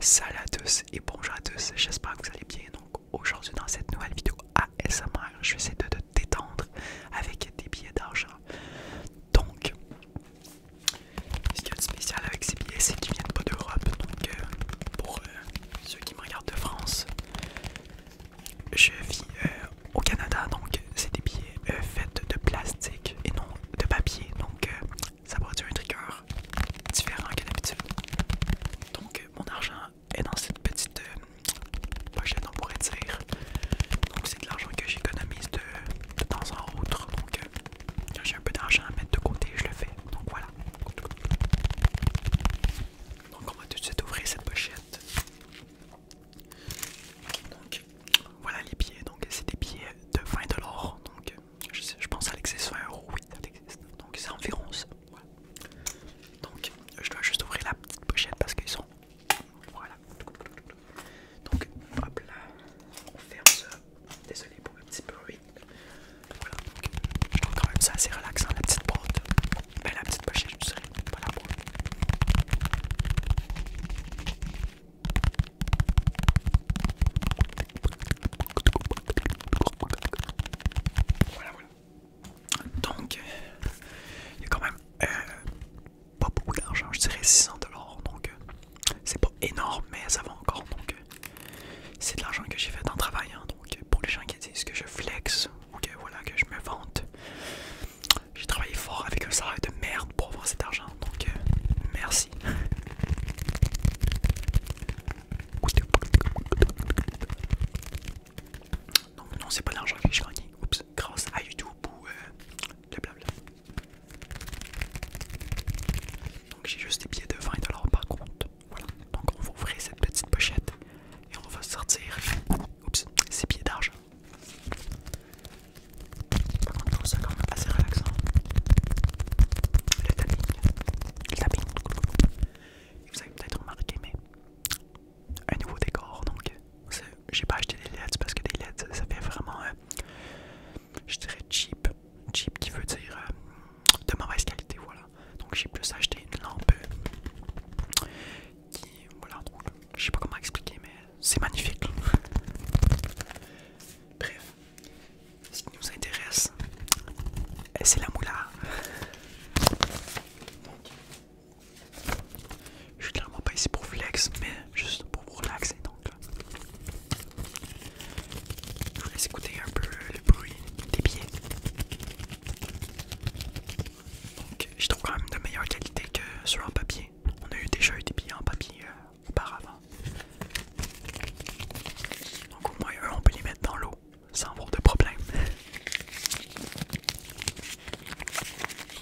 Salut à tous et bonjour à tous, j'espère que vous allez bien. Donc aujourd'hui dans cette nouvelle vidéo ASMR, je vais essayer de te détendre avec des billets d'argent. Donc, ce qu'il y spécial avec ces billets, c'est qu'ils viennent pas d'Europe. Donc euh, pour euh, ceux qui me regardent de France, je vis euh, au Canada, donc c'est des billets faits de plastique et non de papier. Donc ça produit un trigger différent que d'habitude. Donc euh, mon argent est dans cette petite euh, pochette on pourrait dire. Donc c'est de l'argent que j'économise de, temps en autre. Donc euh, quand j'ai un peu d'argent à mettre de côté, je le fais. Donc voilà. Donc on va tout de suite ouvrir cette pochette. Donc voilà les billets. Donc c'est des billets de 20$. Donc je, pense à l'accessoire, oui, Donc c'est environ ça. Donc je dois juste ouvrir la petite pochette parce qu'ils sont. Voilà. Donc hop là, on ferme ça. Désolé pour un petit bruit. Voilà, donc je trouve quand même ça assez relaxant, la petite porte. Ben, la petite pochette, je pas la voilà, Donc, euh, il y a quand même euh, pas beaucoup d'argent, je dirais 600$, donc euh, c'est pas énorme, mais ça va encore. Donc, c'est de l'argent que j'ai fait en travaillant. Hein. donc, pour les gens qui disent que je flex ou que voilà, que je me vante, j'ai travaillé fort avec un salaire de merde pour avoir cet argent. Donc, merci. Donc Non, non, c'est pas l'argent que j'ai gagné. Oups, grâce à YouTube ou euh, Donc j'ai juste des billets de 20$ par contre. Voilà. Donc on va ouvrir cette petite pochette et on va sortir ces billets d'argent. c'est quand même assez relaxant le tapping, Vous avez peut-être remarqué, mais un nouveau décor. Donc, j'ai pas acheté des LEDs parce que des LEDs, ça fait vraiment, euh, je dirais cheap, cheap qui veut dire euh, de mauvaise qualité, voilà. Donc, j'ai plus acheté une lampe euh, qui, voilà, je sais pas comment expliquer, mais c'est magnifique. Bref, ce qui nous intéresse, eh, c'est la moula. Je suis clairement pas ici pour flex, mais juste pour vous relaxer. Donc, euh, je vous laisse écouter un peu le bruit des billets. Donc, je trouve quand même de meilleure qualité que sur un papier. On a déjà eu des billets en papier euh, auparavant. Donc au moins on peut les mettre dans l'eau sans avoir de problème.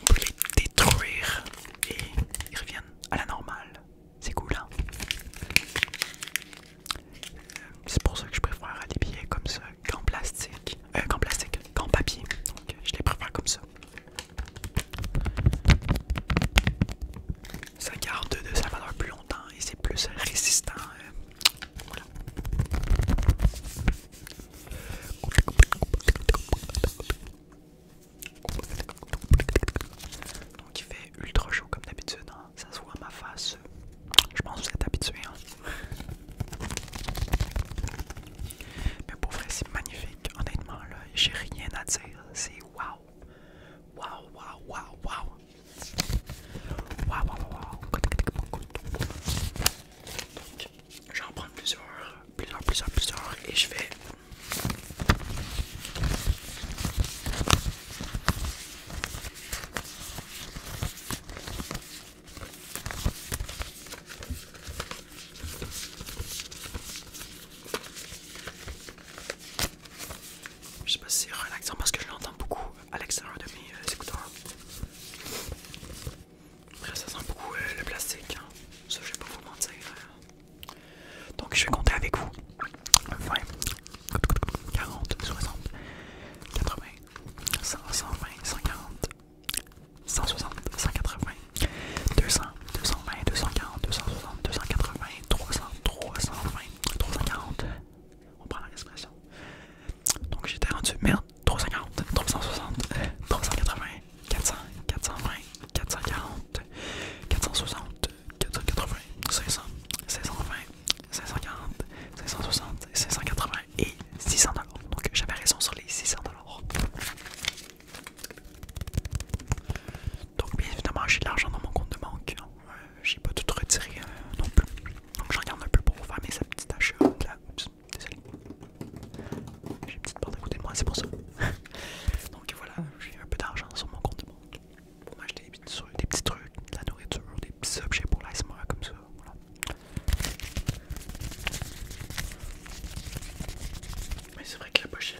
On peut les détruire et ils reviennent à la normale. C'est cool, hein? Euh, c'est pour ça que je préfère des billets comme ça qu'en plastique. Euh, qu'en plastique, qu'en papier. Donc je les préfère comme ça. Ça garde de sa valeur plus longtemps et c'est plus résistant. Euh, Donc il fait ultra chaud comme d'habitude, hein. ça se voit à ma face. Je pense que vous êtes habitués. Hein. Mais pour vrai, c'est magnifique. Honnêtement, là, j'ai rien à dire. C'est wow wow, wow, wow Wow, Waouh, waouh, waouh. je plusieurs, plusieurs, plusieurs, plusieurs et je vais. Je sais pas si c'est relaxant parce que je l'entends beaucoup à l'extérieur de mes euh, écouteurs. Après, ça sent beaucoup euh, le plastique. Je hein. Ça, je vais pas vous mentir. Euh. Donc, je vais compter avec vous 20, 40, 60, 80, 120, 140, 160, 180, 200, 220, 240, 260, 280, 300, 320, 340. On prend la respiration. Donc j'étais rendu merde. 340, 360, 380, 400, 420, 440, 460, 480, 500, 520, 540, 560, 580 et 600 Donc j'avais raison sur les 600 dollars. Donc, bien évidemment, j'ai de l'argent dans mon compte de banque. Euh, j'ai pas tout retiré euh, non plus. Donc, je regarde un peu pour faire mes petites achats. Là. désolé. J'ai une petite porte à côté de moi, c'est pour ça. Donc, voilà, j'ai un peu d'argent sur mon compte de banque pour m'acheter des, petits trucs, de la nourriture, des petits objets pour l'ASMR comme ça. Mais c'est vrai que la pochette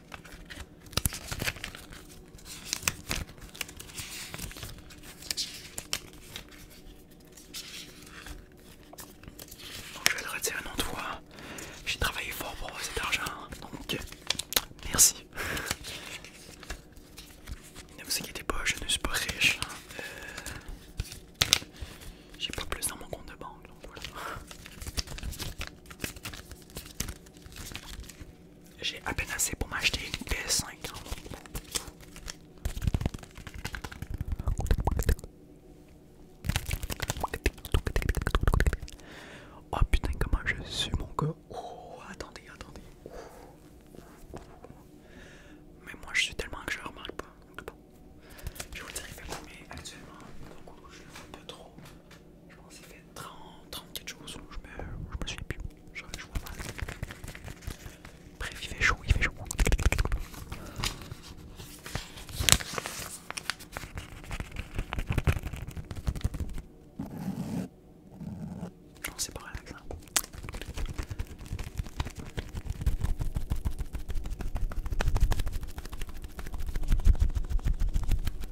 Donc, je vais le retirer autre fois J'ai travaillé fort pour cet argent, hein. donc merci. ne vous inquiétez pas, je ne suis pas riche. Hein. Euh, j'ai pas plus dans mon compte de banque, donc voilà. J'ai à peine assez pour m'acheter une PS5. Hein. Oh putain, comment je suis mon gars! Oh, attendez, attendez! Mais moi je suis tellement que je remarque pas. je vous dirai que actuellement. je le un peu trop. Je pense qu'il fait trente trente quelque je me, me suis plus. Je, vois pas. Bref, il fait chaud, il fait chaud. Non, c'est pas relax. Hein.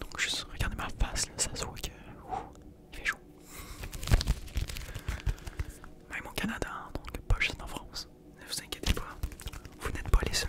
Donc juste regardez ma face, ça se voit que... Fichou. mon Même Canada, hein, donc pas juste en France. Ne vous inquiétez pas, vous n'êtes pas les seuls.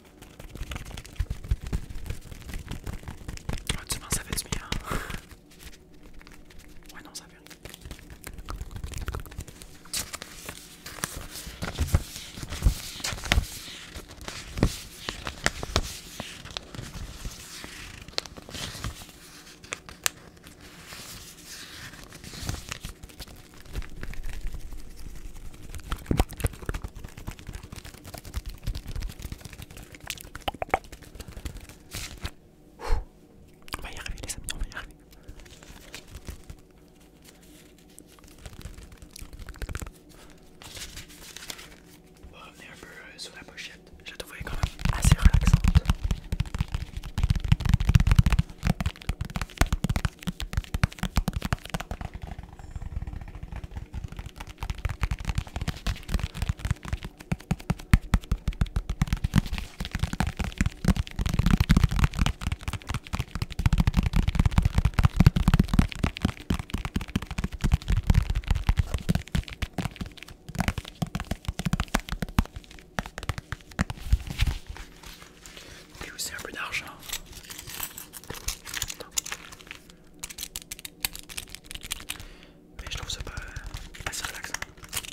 Oh, ça fait être bien? On va y arriver les amis, on va y arriver. Oh, on va revenir un peu euh, sur la pochette. Je la trouvais quand même assez relaxante. Ok, c'est un peu d'argent. Mais je trouve ça pas, pas si relaxant. Hein.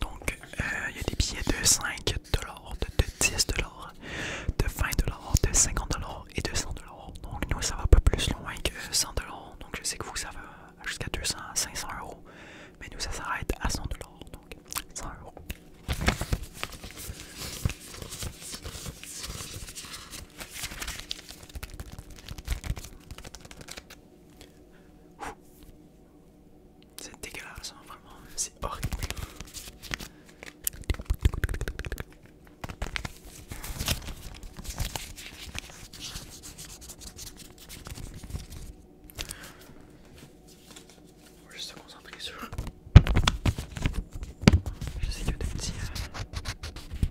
Donc, euh, il y a des billets de 5$, de, 10$, de 20$, de 50$ et de 100$. Donc, nous, ça va pas plus loin que 100$. Donc, je sais que vous, ça va jusqu'à 200, 500€. Mais nous, ça s'arrête à 100$. Donc, 100€. C'est dégueulasse, hein, vraiment, c'est horrible. Je juste se concentrer sur. Je sais que des petits.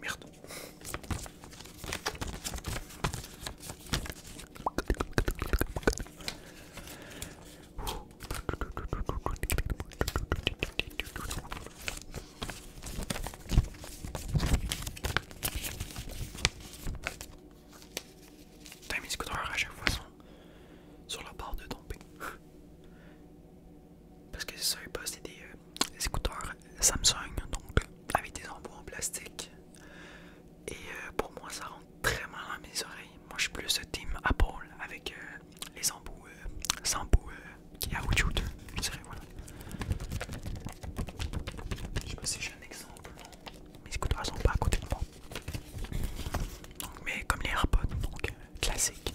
Merde. Time is à chaque fois sur la barre de tomber. Parce que ça savez pas, c'est des, euh, les scooters Samsung, donc avec des embouts en plastique. Et euh, pour moi, ça rend très mal à mes oreilles. Moi, je suis plus team Apple avec euh, les embouts euh, qui à qui caoutchoute. Je dirais, voilà. Je sais pas si j'ai un exemple. Mes écouteurs sont pas à côté de moi. mais comme les AirPods, donc classique.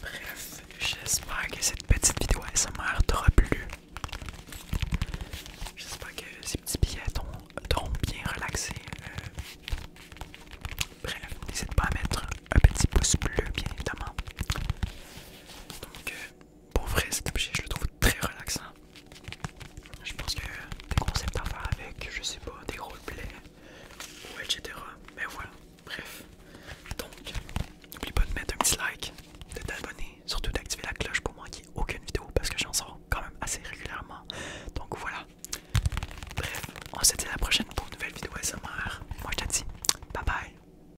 Bref, j'espère que cette petite vidéo SMR t'aura plu. J'espère que ces petits billets t'auront bien relaxé. Euh. bref, n'hésite pas à mettre un petit pouce bleu, bien évidemment. Donc, euh, pour vrai cet objet je le trouve très relaxant. Hein. Je pense que des concepts à faire avec, je sais pas, des roleplays ou etc. Mais voilà, bref. Donc, n'oublie pas de mettre un petit like, de t'abonner, surtout d'activer la cloche pour moi manquer aucune vidéo parce que j'en sors quand même assez régulièrement. Donc voilà. Bref, on se dit à la prochaine pour une nouvelle vidéo SMR. Moi je te dis, bye bye.